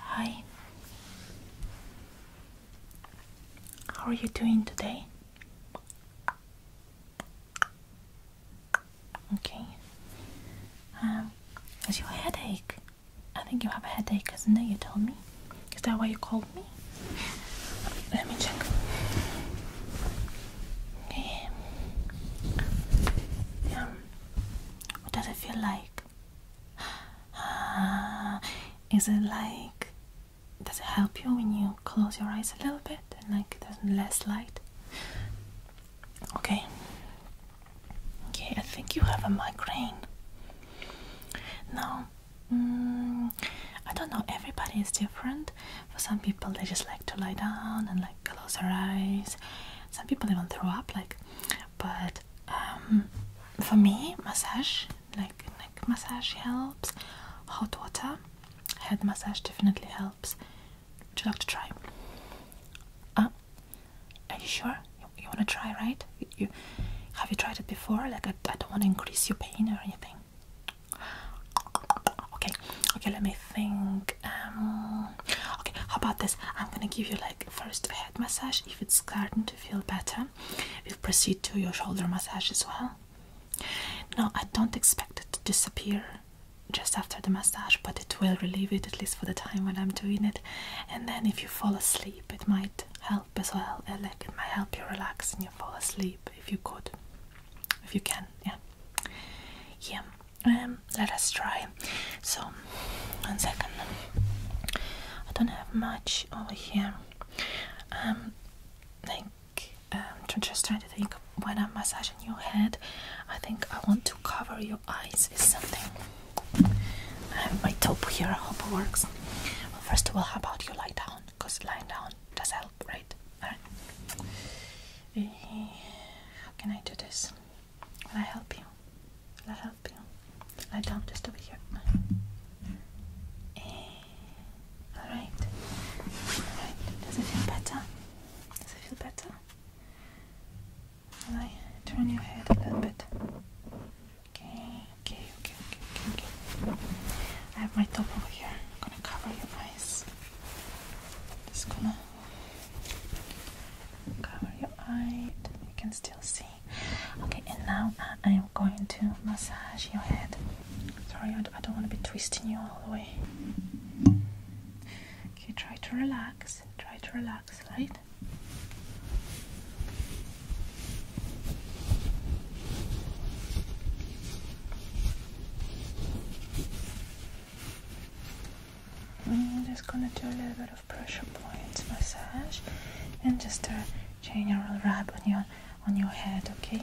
Hi, how are you doing today? Okay, um, is your headache? I think you have a headache, isn't it? You told me. Is that why you called me? Let me check. Okay. Um, what does it feel like? Is it like does it help you when you close your eyes a little bit and like there's less light? Okay. Okay, I think you have a migraine. No, mm, I don't know. Everybody is different. For some people, they just like to lie down and like close their eyes. Some people even throw up. Like but um, for me, massage, like neck massage helps, hot water, head massage definitely helps. Would you like to try? Uh, are you sure? You, want to try, right? You, have you tried it before? Like I, don't want to increase your pain or anything. Okay, okay. Let me think. Um, Okay, how about this? I'm gonna give you like first head massage if it's starting to feel better. We'll proceed to your shoulder massage as well. No, I don't expect it to disappear just after the massage, but it will relieve it at least for the time when I'm doing it. And then, if you fall asleep, it might help as well. Uh, it might help you relax and you fall asleep if you could, if you can. Yeah, yeah. Um, let us try. So, one second. I don't have much over here. Um, like, um, just trying to think when I'm massaging your head, I think I want to cover your eyes with something. Um, I have my top here, I hope it works. Well, first of all, how about you lie down? Because lying down does help, right? Eh, how can I do this? Will I help you? Will I help you? Lie down just over here. Eh. Alright. Alright. Does it feel better? Does it feel better? Will I turn your head a little bit? Okay, okay, okay, okay, okay, okay. I have my top over here. I'm gonna cover your eyes. Just gonna Cover your eye, you can still see. Okay, and now I am going to massage your head. Sorry, I don't want to be twisting you all the way. Okay, try to relax. Try to relax, right? I'm mm, just gonna do a little bit pressure points massage and just a general rub on your on your head, Okay.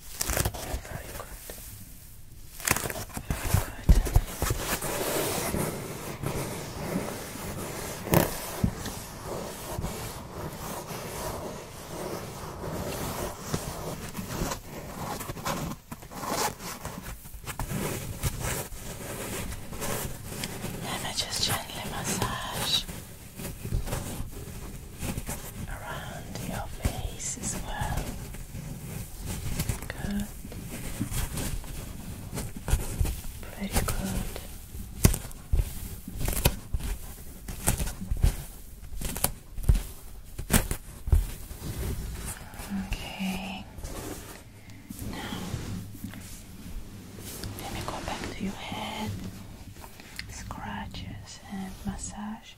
Very good. Let me just gently massage around your face as well. Good. Pretty good. Okay. Now let me go back to your head. Scratches and massage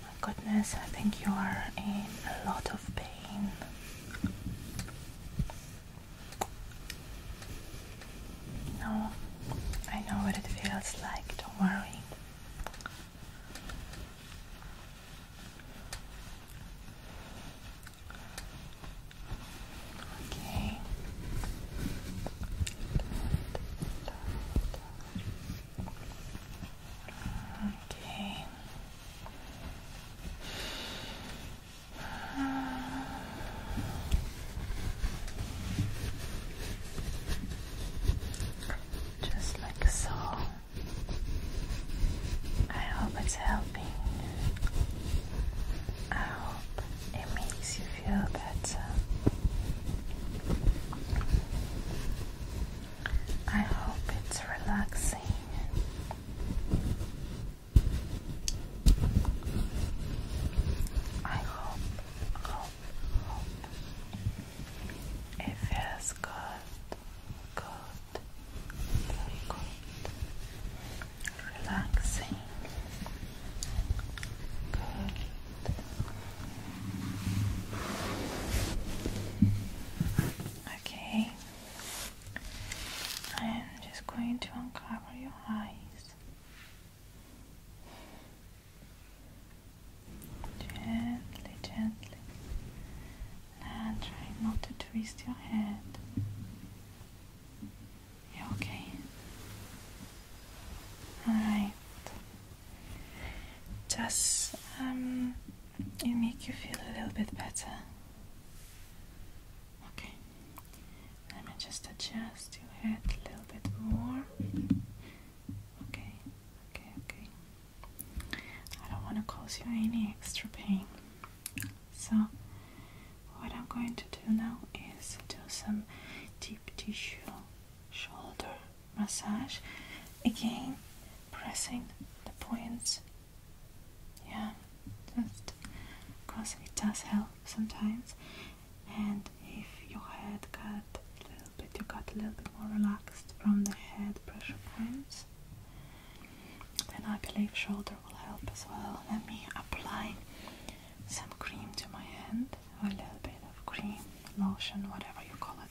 my goodness, I think you are in a lot of pain. No, I know what it feels like, don't worry. Okay. Okay. Just like so. I hope it's helping. I hope it makes you feel better. I hope it's relaxing. I hope, hope, hope it feels good. Good. good. Relaxing. Good. Okay. I am just going to uncover your eyes. Gently, gently. Now try not to twist your head. You are okay? Alright. Does um it make you feel a little bit better? Okay. Let me just adjust your head a little bit more. Okay, okay, okay. I don't want to cause you any extra pain. So, what I'm going to do now is do some deep tissue shoulder massage. Again, pressing the points. Yeah, just because it does help sometimes. And if your head got a little bit, you got a little bit more relaxed from the head pressure points. Then I believe shoulder will help as well. Let me apply some cream to my hand, a little bit of cream, lotion, whatever you call it.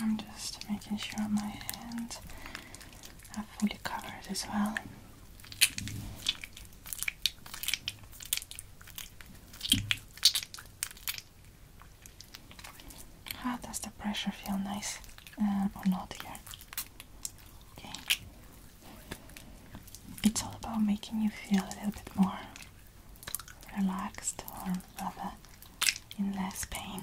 I'm just making sure my hands are fully covered as well. How ah, does the pressure feel nice uh, or not here? Okay. It's all about making you feel a little bit more relaxed or rather in less pain.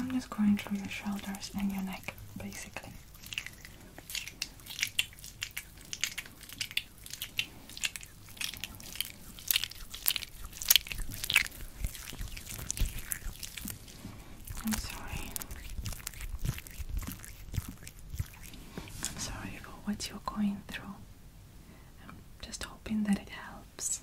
I'm just going through your shoulders and your neck, basically. I'm sorry. I'm sorry for what you're going through. I'm just hoping that it helps.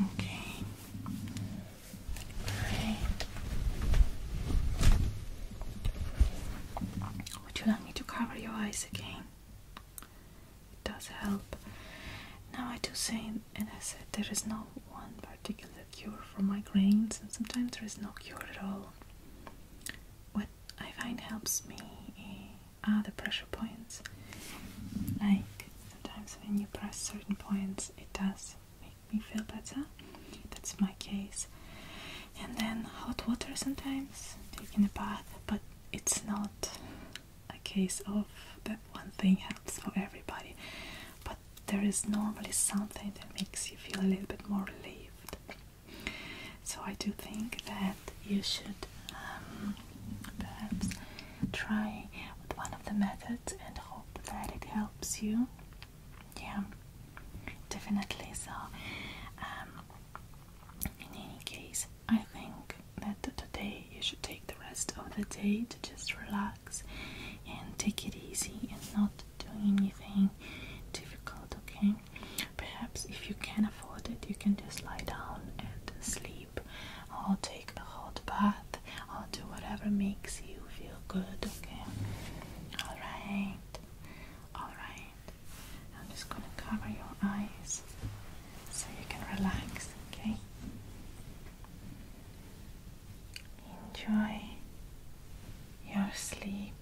Okay. Would you like me to cover your eyes again? It does help. Now I do say, and I said there is no one particular cure for migraines, and sometimes there is no cure at all. What I find helps me are ah, the pressure points. Like sometimes when you press certain points, it does make me feel better. That's my case. And then hot water sometimes, taking a bath, but it's not a case of that one thing helps for everybody. But there is normally something that makes you feel a little bit more relieved. So I do think that you should um, perhaps try with one of the methods and hope that it helps you. Yeah, definitely. So, um, in any case, I think that today you should take the rest of the day to just relax and take it easy and not do anything difficult, okay? Perhaps if you can afford it, you can just lie down and sleep, or take a hot bath, or do whatever makes you feel good. Okay. All right. All right. I'm just gonna cover your eyes so you can relax. Okay. Enjoy your sleep.